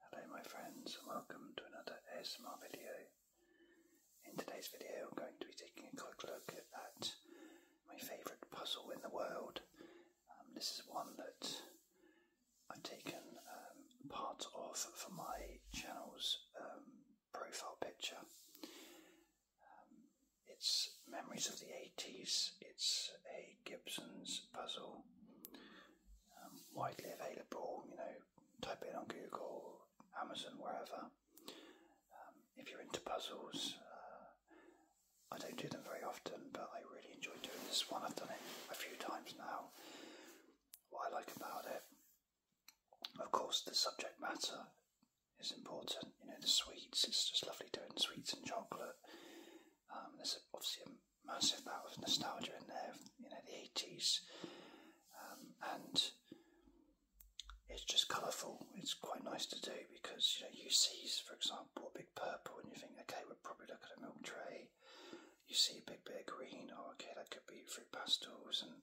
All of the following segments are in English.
Hello my friends and welcome to another ASMR video. In today's video I'm going to be taking a quick look at my favourite puzzle in the world. Um, this is one that I've taken um, part of for my channel's um, profile picture. it's Memories of the 80s, it's a Gibson's puzzle. Um, widely available. You know, type it on Google, Amazon, wherever. Um, if you're into puzzles, uh, I don't do them very often, but I really enjoy doing this one. I've done it a few times now. What I like about it, of course, the subject matter is important. You know, the sweets. It's just lovely doing sweets and chocolate. Um, there's obviously a massive amount of nostalgia in there, you know, the 80s. Um, and it's just colourful. It's quite nice to do because, you know, you see, for example, a big purple and you think, okay, we'll probably look at a milk tray. You see a big bit of green, oh, okay, that could be fruit pastels. And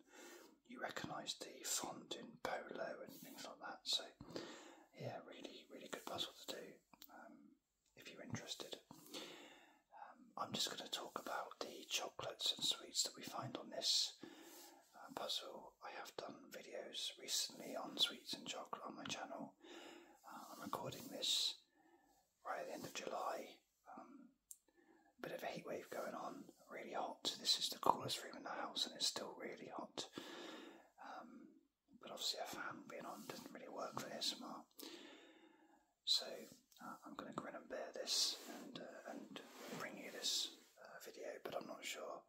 you recognise the font in polo and things like that. So, yeah, really, really good puzzle to do. Um, if you're interested. Um, I'm just going to talk about the chocolates and sweets that we find on this uh, puzzle. I have done videos recently on sweets and chocolate on my channel. Uh, I'm recording this right at the end of July. Um, bit of a heatwave going on, really hot. This is the coolest room in the house and it's still really hot. Um, but obviously a fan being on doesn't really work very smart. So uh, I'm going to grin and bear this and uh, and bring you this uh, video, but I'm not sure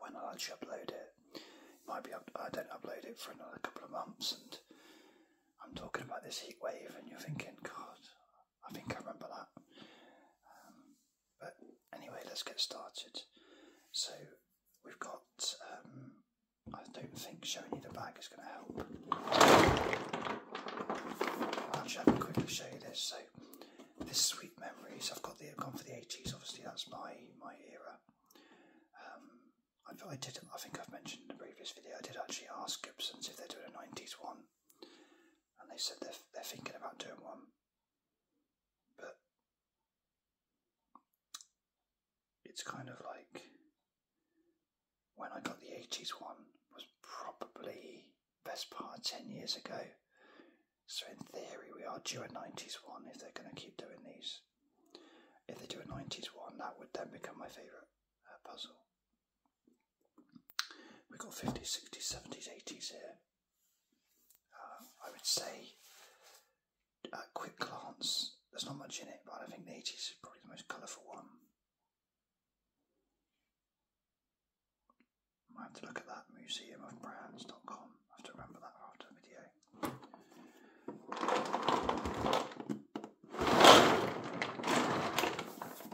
when i actually upload it. it might be up I don't upload it for another couple of months, and I'm talking about this heat wave, and you're thinking, God, I think I remember that. Um, but anyway, let's get started. So We've got, um, I don't think showing you the bag is going to help. I'll just quickly show you this. So, this Sweet Memories, I've got the, i gone for the 80s, obviously, that's my, my era. Um, I, did, I think I've mentioned in the previous video, I did actually ask Gibson's if they're doing a 90s one. And they said they're, they're thinking about doing one. But it's kind of like when I got the 80s one was probably best part 10 years ago. So in theory we are due a 90s one if they're going to keep doing these. If they do a 90s one that would then become my favourite uh, puzzle. We've got 50s, 60s, 70s, 80s here. Uh, I would say a quick glance, there's not much in it, but I think the 80s is probably the most colourful one. I have to look at that museumofbrands.com. I have to remember that after the video.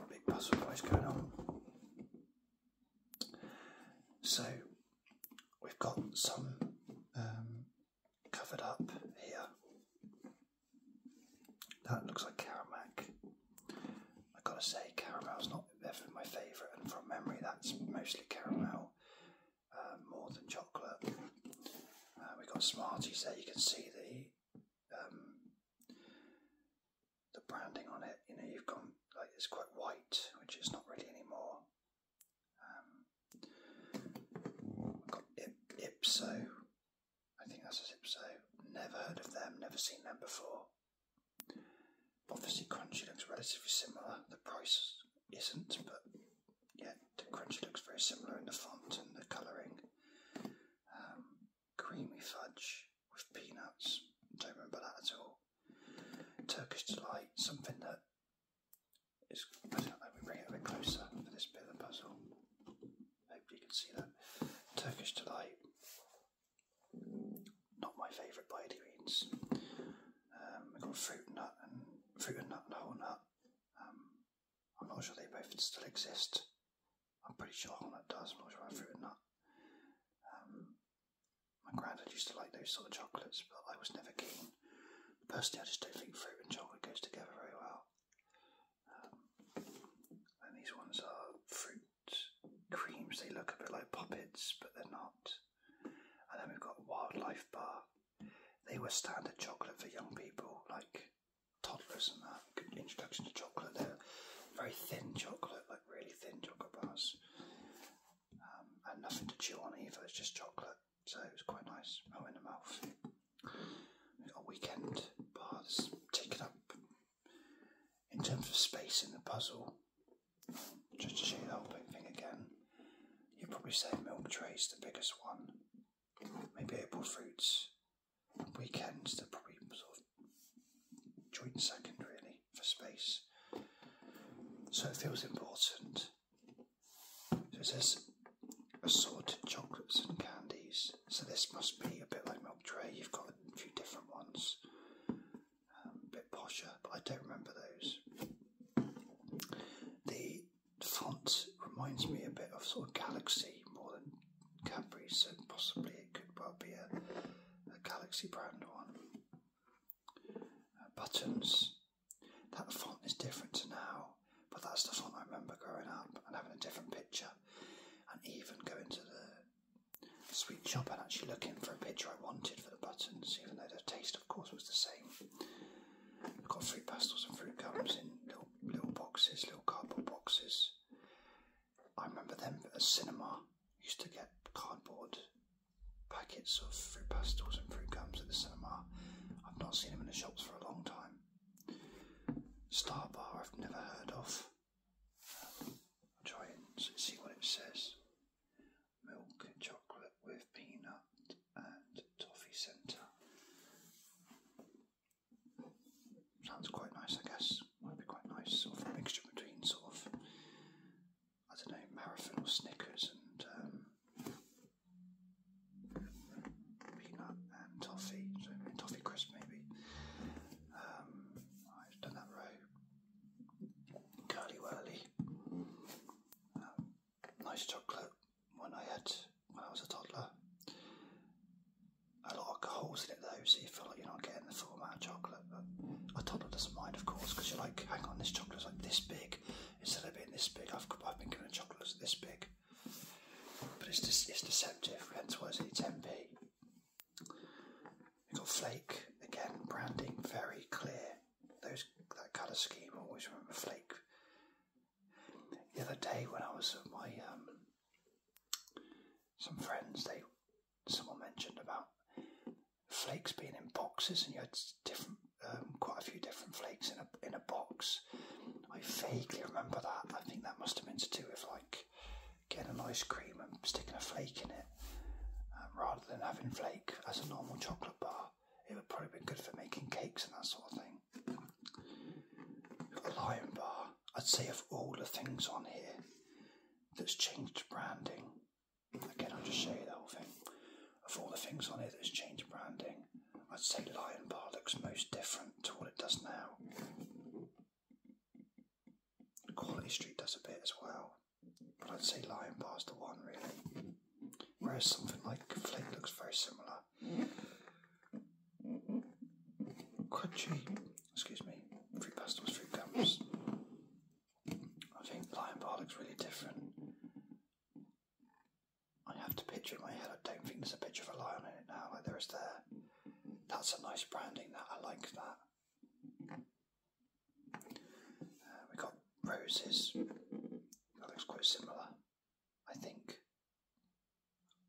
Big puzzle noise going on. So we've got some um, covered up here. That looks like caramel. I gotta say, caramel's not ever my favourite, and from memory, that's mostly caramel um, more than chocolate. Uh, we've got Smarties there, you can see the um, the branding on it. You know, you've gone like it's quite white, which is not really anymore. Um, I've got I- Ipso. I think that's Ipso. Never heard of them, never seen them before. Obviously, Crunchy looks relatively similar. The price isn't, but yeah, the Crunchy looks very similar in the font and the colouring. Um, creamy fudge with peanuts. Don't remember that at all. Turkish delight, something that is. I let me bring it a bit closer for this bit of the puzzle. Hopefully, you can see that. Turkish delight, not my favourite by any we've um, got fruit nut and fruit nut and nut. Um, I'm not sure they both still exist. I'm pretty sure whole nut does. I'm not sure about fruit and nut. Um, my granddad used to like those sort of chocolates, but I was never keen. Personally, I just don't think fruit and chocolate goes together very well. Um, and these ones are fruit creams. They look a bit like poppets, but they're not. And then we've got wildlife bar. They were standard chocolate for young people, like toddlers and that. Good introduction to chocolate. They're very thin chocolate, like really thin chocolate bars. Um, and nothing to chew on either, it's just chocolate, so it was quite nice, oh in the mouth. got weekend bars taken up in terms of space in the puzzle. Just to show you the whole big thing again, you probably say milk tray's the biggest one. Maybe apple fruits. Weekends they're probably sort of joint second really for space. So it feels important. So it says assorted chocolates and candies. So this must be a bit like Milk Tray. You've got a few different ones. Um, a bit posher, but I don't remember those. The font reminds me a bit of sort of Galaxy more than Cadbury, so possibly it could well be a Galaxy brand one. Uh, buttons. That font is different to now, but that's the font I remember growing up and having a different picture. And even going to the sweet shop and actually looking for a picture I wanted for the buttons, even though the taste, of course, was the same. got fruit pastels and fruit gums in little little boxes, little cardboard boxes. I remember them at cinema. Used to get cardboard packets of fruit pastels and fruit gums at the cinema. I've not seen them in the shops for a long time. Star Bar, I've never heard of. Um, i try and see what it says. Milk and chocolate with peanut and toffee centre. Sounds quite nice, I guess. Might be quite nice, sort of mixture between sort of I don't know, marathon or Snickers and um, peanut and toffee, so toffee crisp maybe. Um, I've done that row. Curly whirly. Um, nice chocolate When I had when I was a toddler. A lot of holes in it though, so you feel like you're not getting the full amount of chocolate chocolate, but a toddler doesn't mind, of course, because you're like, hang on, this chocolate's like this big. Instead of being this big, I've, I've been given a chocolate this big. But it's, just, it's deceptive, hence why it's 10p. You've got flake, again, branding very clear. Those That colour scheme, always remember flake. The other day when I was with my, um, some friends, they someone mentioned about flakes being in boxes, and you had different, um, quite a few different flakes in a in a box. I vaguely remember that. I think that must have been to do with like getting an ice cream and sticking a flake in it, um, rather than having flake as a normal chocolate bar. It would probably have been good for making cakes and that sort of thing. lion bar. I'd say of all the things on here that's changed branding, Again, I'll just show you the whole thing. Of all the things on here that's changed branding, I'd say Lion Bar looks most different to what it does now. Quality Street does a bit as well, but I'd say Lion Bar's the one really. Whereas something like Flake looks very similar. Quite cheap, excuse me, three pastels, three gums. I think lion bar looks really different. I have to picture in my head, I don't think there's a picture of a lion in it now, like there is there. That's a nice branding, that I like that. Uh, we got roses, that looks quite similar, I think.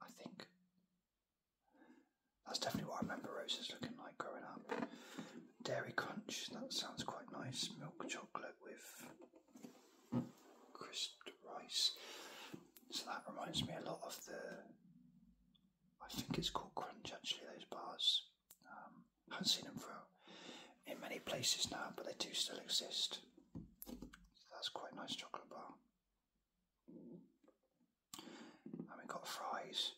I think. That's definitely what I remember roses looking like growing up. Dairy Crunch, that sounds quite nice. Milk chocolate with crisped rice. So that reminds me a lot of the. I think it's called Crunch actually, those bars. Um, I haven't seen them for in many places now, but they do still exist. that's quite a nice chocolate bar and we've got fries.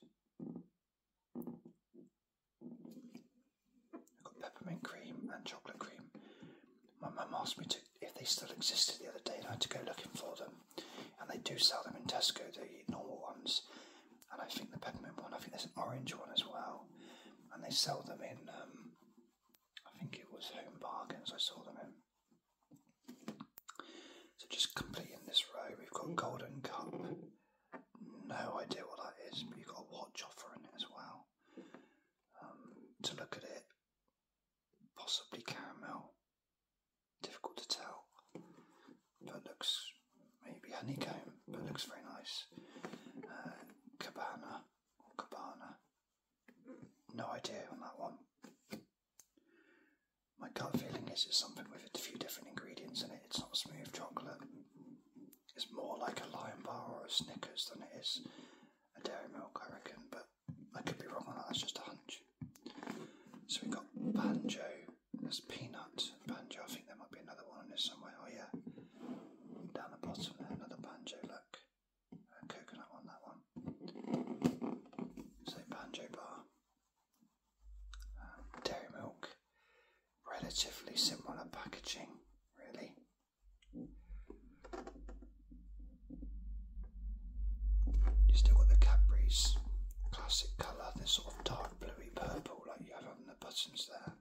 We've got peppermint cream and chocolate cream. My mum asked me to if they still existed the other day, and I had to go looking for them. And they do sell them in Tesco, the normal ones. And I think the peppermint one, I think there's an orange one as well. And they sell them in, um, I think it was Home Bargains I saw them in. So just completing this row, we've got Golden Cup. No idea what that is, but you've got a watch offering it as well. Um, to look at it, possibly caramel. Difficult to tell, but looks maybe honeycomb, but looks very nice. Uh, cabana or cabana. No idea on that one. My gut feeling is it's something with a few different ingredients in it. It's not smooth chocolate. It's more like a lion bar or a Snickers than it is a dairy milk, I reckon. But I could be wrong on that. That's just a hunch. So we got banjo. There's peanut banjo. I think there might be another one in there somewhere. Oh yeah, down the bottom there, another banjo. Look, coconut on that one. So banjo bar. Um, dairy milk, relatively similar packaging, really. You still got the Cadbury's classic colour, this sort of dark bluey purple like you have on the buttons there.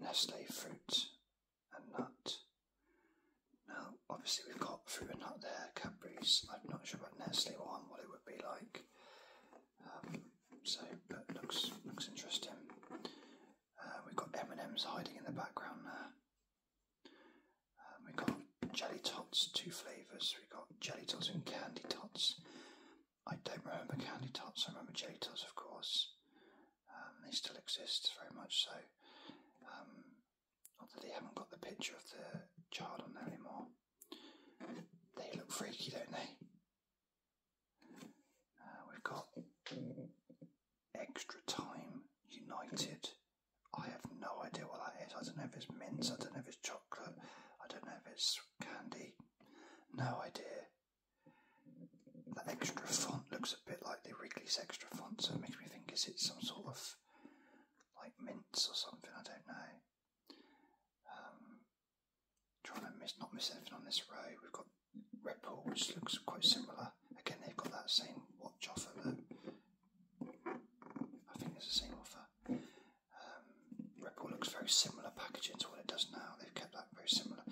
Nestle fruit and nut. Now, obviously, we've got through and nut there, Cadbury's. I'm not sure what Nestle one, what it would be like. Um, so, but looks looks interesting. Uh, we've got M and M's hiding in the background there. Um, we've got jelly tots, two flavours. We've got jelly tots and candy tots. I don't remember candy tots. I remember jelly tots, of course. Um, they still exist, very much so. Not that they haven't got the picture of the child on there anymore. They look freaky, don't they? Uh, we've got Extra Time United. I have no idea what that is. I don't know if it's mint. I don't know if it's chocolate, I don't know if it's candy. No idea. That extra font looks a bit like the Wrigley's extra font, so it makes me think is it some sort of like mints or something, I don't know. Um, trying to miss, not miss anything on this row. We've got Red Bull, which looks quite similar. Again, they've got that same watch offer. I think it's the same offer. Um, Red Bull looks very similar packaging to what it does now. They've kept that very similar.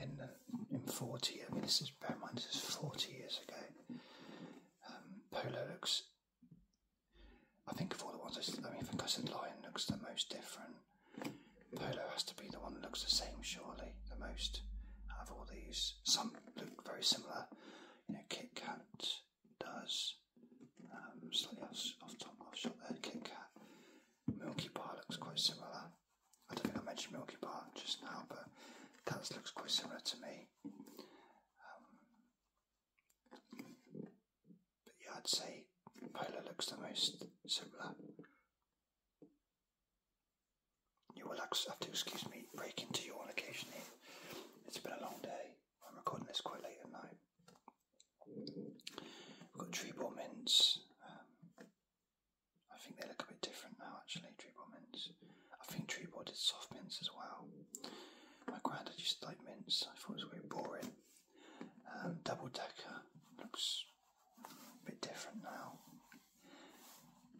In in 40, I mean, this is bear in mind this is 40 years ago. Um, Polo looks. I think of all the ones I, mean, I think I said Lion looks the most different. Polo has to be the one that looks the same, surely, the most of all these. Some look very similar. You know, Kit Kat does. Um, slightly off, off top, off shot there, Kit Kat. Milky Bar looks quite similar. I don't think I mentioned Milky Bar just now, but that looks quite similar to me but yeah, I'd say Polar looks the most similar. You will have to excuse me break into your on occasionally. It's been a long day. I'm recording this quite late at night. We've got tree ball mints, um, I think they look a bit different now, actually, Treeboard mints. I think Treeboard did soft mints as well. My granddad just to mints, I thought it was a bit boring. Um, double decker looks a bit different now.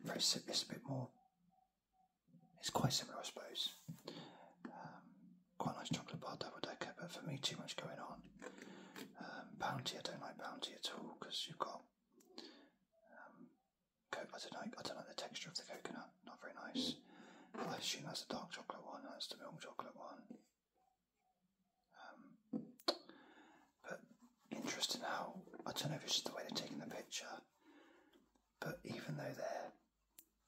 Very it's a bit more. It's quite similar, I suppose. Um, quite nice chocolate bar double decker, but for me, too much going on. Um, bounty, I don't like bounty at all because you've got I don't like the texture of the coconut. Not very nice. I assume that's the dark chocolate one. That's the milk chocolate one. Um, but interesting how I don't know if it's just the way they're taking the picture. But even though they're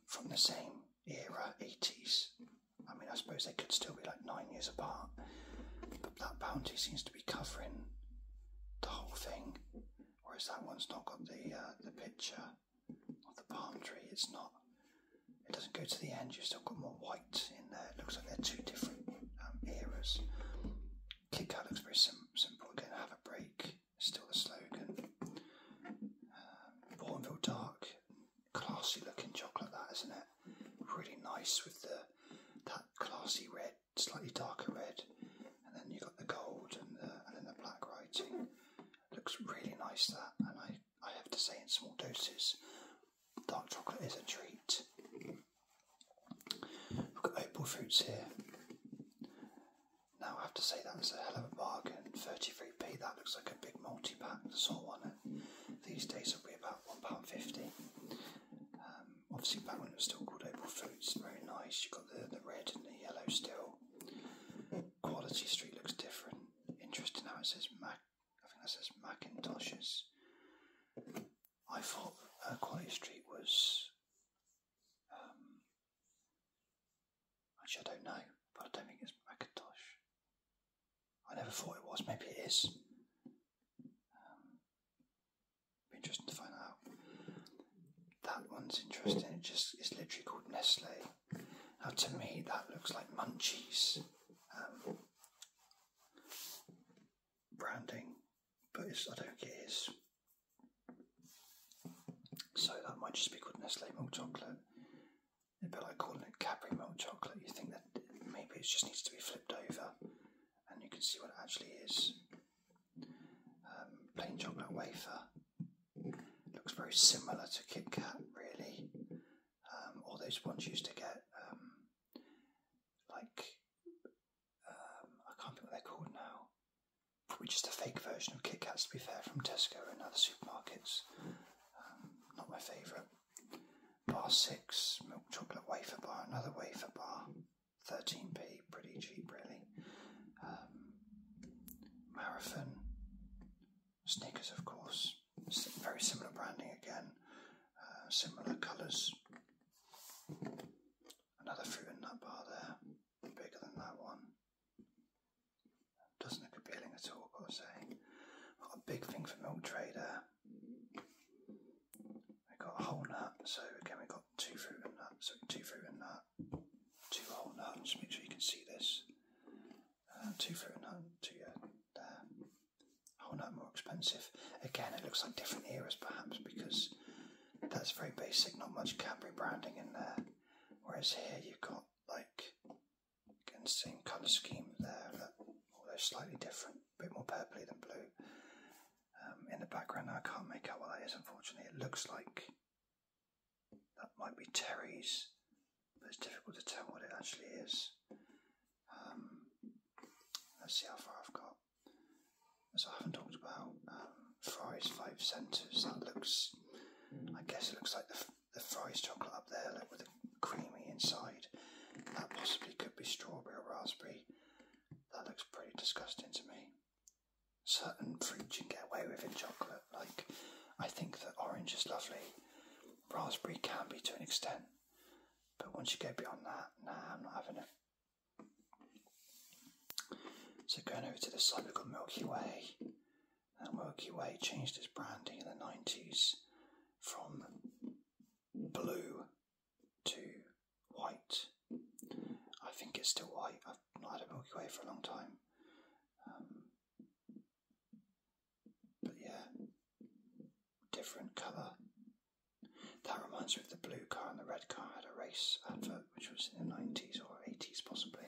from the same era, eighties, I mean, I suppose they could still be like nine years apart. But that bounty seems to be covering the whole thing. Whereas that one's not got the uh, the picture of the palm tree. It's not. It doesn't go to the end. You've still got more white in there. It looks like they're two different um, eras. Kit Kat looks very sim simple. Again, have a break. Still the slogan. Um, Bourneville Dark, classy looking chocolate. That isn't it? Really nice with the that classy red slightly darker red, and then you've got the gold and, then the black writing. Looks really nice that, and I, I have to say, in small doses, dark chocolate is a treat. We've got opal fruits here. Now I have to say that is a hell of a bargain. 33p, that looks like a big multi-pack, the sort one. These days would be about £1.50. Um, obviously back when it was still called Opal Fruits, very nice. You've got the, the red and the yellow still. Quality Street looks different. Interesting now it says Mac. I think that says Macintoshes. I thought uh, Quality Street was. Um, actually, I don't know, but I don't think it's Macintosh. I never thought it was. Maybe it is. Um, interesting to find out. That one's interesting. Hmm. It just is literally called Nestle. Now to me, that looks like Munchies um, branding, but I don't think it is. So that might just be called Nestle milk chocolate. It'd be like calling it Capri milk chocolate. You think that maybe it just needs to be flipped over and you can see what it actually is. Um, plain chocolate wafer. Looks very similar to Kit Kat, really. Um, all those ones used to get, um, like, um, I can't think what they're called now. Probably just a fake version of Kit Kats, to be fair, from Tesco and other supermarkets. not my favourite. Bar 6, milk chocolate wafer bar, another wafer bar. 13p, pretty cheap, really. Um, Marathon, sneakers, of course, very similar branding again, uh, similar colours. Another fruit and nut bar there, bigger than that one. Doesn't look appealing at all, I'll say. Not a big thing for Milk Trader we got a whole nut, so again we got two fruit and nut, so two fruit and nut, two whole nut, just make sure you can see this. Uh, two fruit and nut, two uh, whole nut more expensive. Again, it looks like different eras perhaps because that's very basic, not much Cadbury branding in there. Whereas here you've got like, again, same colour scheme there, look, although slightly different, a bit more purpley than blue. Um, in the background. I can't make out what that is, unfortunately. It looks like that might be Terry's, but it's difficult to tell what it actually is. Um, let's see how far I've got. As I haven't talked about um, Five Centres, that looks, I guess it looks like the, the Fry's chocolate up there, like with the creamy inside. That possibly could be strawberry or raspberry. That looks pretty disgusting to me. Certain fruits you can get away with in chocolate, like I think that orange is lovely, raspberry can be to an extent, but once you go beyond that, nah, I'm not having it. So going over to the side, we've got Milky Way. Now Milky Way changed its branding in the 90s from blue to white. I think it's still white. I've not had a Milky Way for a long time. Um, but yeah, different colour. That reminds me of the blue car and the red car had a race advert which was in the 90s or 80s possibly.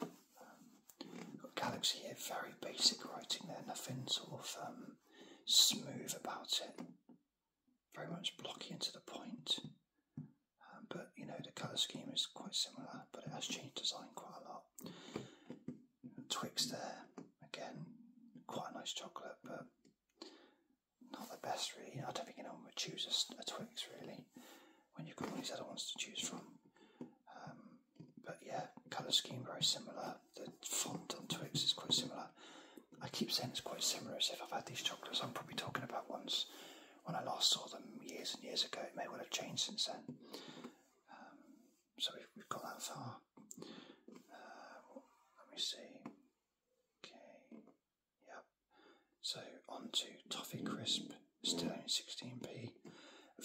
Um, got Galaxy here, very basic writing there, nothing sort of um, smooth about it, very much blocky and to the point. Um, but you know, the colour scheme is quite similar, but it has changed design quite a lot. Twix there, again, quite a nice chocolate, but not the best really. I don't think anyone would choose a, a Twix really when you've got all these other ones to choose from. Um, but yeah, colour scheme very similar the font on Twix is quite similar. I keep saying it's quite similar as if I've had these chocolates I'm probably talking about ones when I last saw them years and years ago. It may well have changed since then. Um, so we've, got that far. Uh, let me see. Okay. Yep. So on to Toffee Crisp, still only 16p.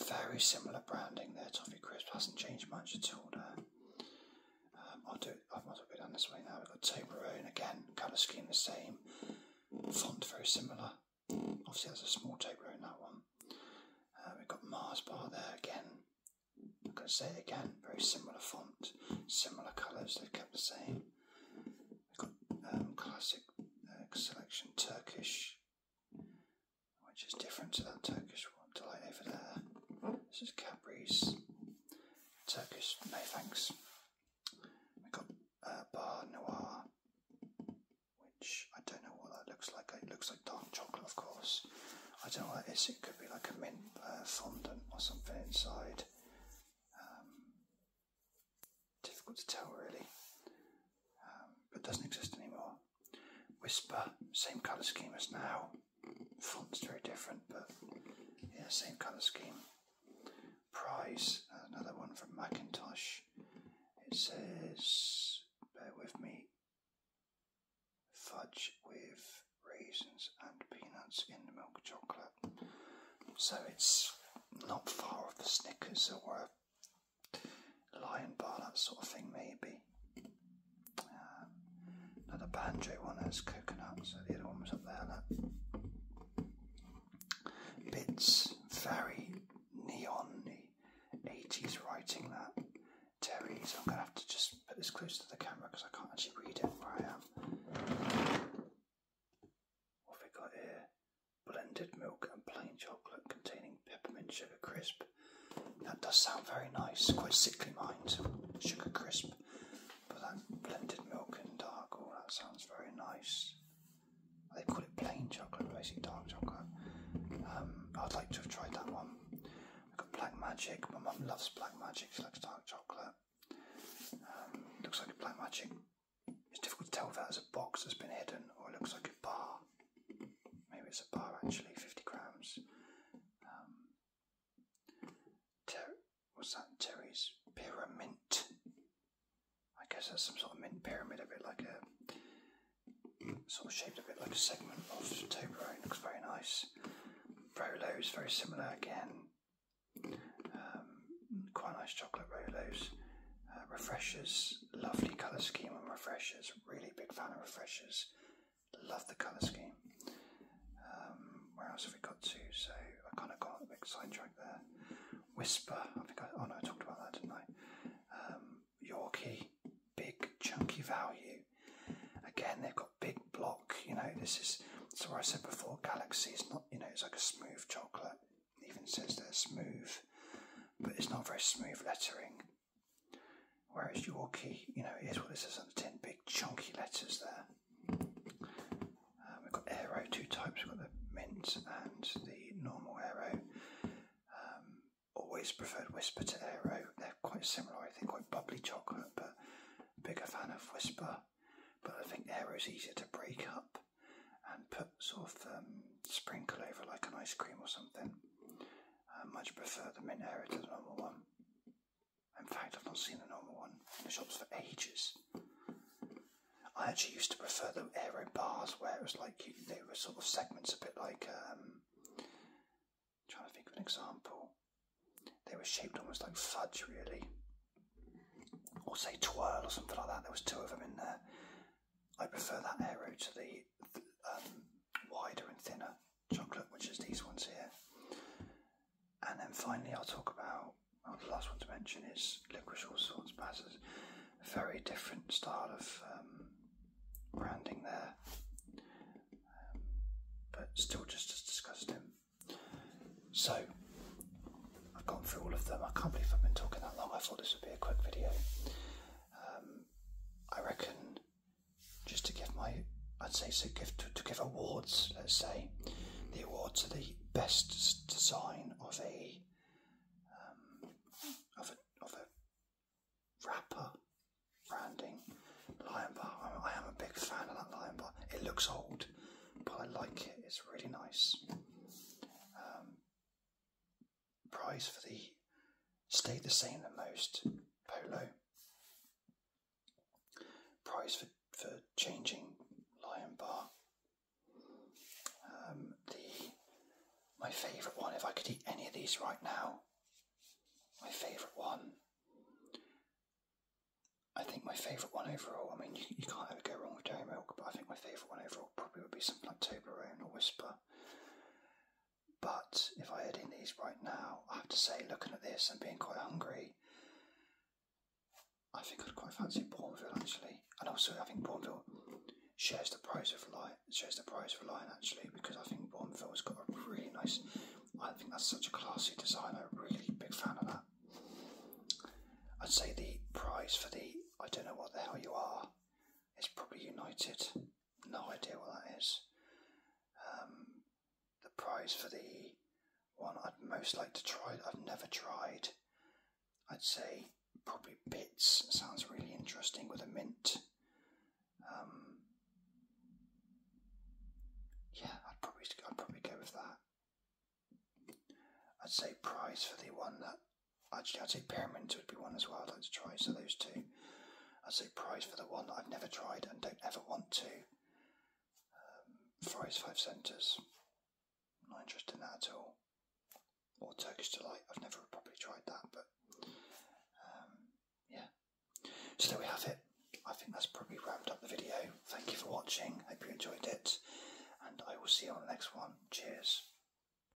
Very similar branding there. Toffee Crisp hasn't changed much at all there. Um, I'll do. I might as go down this way now. We've got Toblerone again. Colour scheme the same. Font very similar. Obviously, there's a small in that one. Uh, we've got Mars Bar there again. I'm going to say again. Very similar font, similar colours. They've kept the same. We've got um, classic uh, selection Turkish which is different to that Turkish one to like over there. This is Cadbury's Turkish No Thanks. We've got a uh, Bar Noir, which I don't know what that looks like. It looks like dark chocolate, of course. I don't know what that is. It could be like a mint uh, fondant or something inside. Um, difficult to tell, really. Um, but doesn't exist anymore. Whisper, same colour scheme as now. Font's very different, but yeah, same colour scheme. Price, another one from Macintosh. It says, bear with me, fudge with raisins and peanuts in milk chocolate. So it's not far off the Snickers or lion bar, that sort of thing, maybe. Uh, another banjo one has coconuts, so the other one was up there. That. Bits, very neon 80s writing that. Terry, so I'm going to have to just put this closer to the camera because I can't actually read it where I am. What we got here? Blended milk and plain chocolate containing peppermint sugar crisp that does sound very nice, quite sickly mind, sugar crisp, but that blended milk and dark, oh that sounds very nice. They call it plain chocolate, basically dark chocolate. Um, I'd like to have tried that one. We've got Black Magic, my mum loves Black Magic, she likes dark chocolate. Um, looks like a Black Magic. It's difficult to tell if that's a box that's been hidden or it looks like a bar maybe it's a bar actually, 50 grams. Um, what's that? Terry's Pyramid. I guess that's some sort of mint pyramid, a bit like a sort of shaped a bit like a segment of Toblerone. Looks very nice. Rolos, very similar again. Um, quite nice chocolate Rolos. Uh, refreshers, lovely colour scheme on refreshers. Really big fan of refreshers. Love the colour scheme. Um, where else have we got to? So I kind of got a big sidetrack there. Whisper. I think I, oh no, I talked about that, didn't I? Um, Yorkie, big chunky value. Again, they've got big block. You know, this is so I said before. Galaxy is not. You know, it's like a smooth chocolate. even says they're smooth, but it's not very smooth lettering. Whereas Yorkie, you know, is what it says on the tin, big chunky letters there. Um, we've got aero, two types, we've got the mint and the normal aero. Um, always preferred Whisper to aero. They're quite similar, I think, quite bubbly chocolate, but bigger fan of Whisper. But I think aero is easier to break up and put sort of um, sprinkle over like an ice cream or something. I much prefer the mint area to the normal one. In fact, I've not seen the normal one in the shops for ages. I actually used to prefer the arrow bars where it was like they were sort of segments a bit like, um, trying to think of an example. They were shaped almost like fudge, really. Or say twirl or something like that. There was two of them in there. I prefer that arrow to the, um, wider and thinner chocolate, which is these ones here. And then finally, I'll talk about well, the last one to mention is licorice all sorts batters. Very different style of um, branding there, um, but still just as disgusting. So I've gone through all of them. I can't believe I've been talking that long. I thought this would be a quick video. Um, I reckon just to give my, I'd say so give to, to give awards. Let's say the award to the best design of a um, of a of a wrapper branding lion bar. I, am a big fan of that lion bar. It looks old, but I like it. It's really nice. Um, Price for the stayed the same the most polo. price for, for changing lion bar. Um, the my favourite one, if I could eat any of these right now, my favourite one. I think my favourite one overall, I mean, you, you can't ever go wrong with dairy milk, but I think my favourite one overall probably would be something like Toblerone a Whisper. But if I had in these right now, I have to say, looking at this and being quite hungry, I think I'd quite fancy Bourneville actually. And also, I think Bourneville shares the prize of light, shares the prize of Lion actually, because I think Bourneville has got a really nice. I think that's such a classy design. I'm a really big fan of that. I'd say the prize for the I don't know what the hell you are is probably United no idea what that is. Um, the prize for the one I'd most like to try I've never tried, I'd say probably bits. Sounds really interesting with a mint. Um, yeah, I'd probably I'd probably go with that. I'd say prize for the one that Actually, I'd say pyramids would be one as well I'd like to try, so those two. I'd say prize for the one I've never tried and don't ever want to. Um, fries five centres. Not interested in that at all. Or Turkish delight. I've never properly tried that, but um, yeah. So there we have it. I think that's probably wrapped up the video. Thank you for watching. Hope you enjoyed it, and I will see you on the next one. Cheers.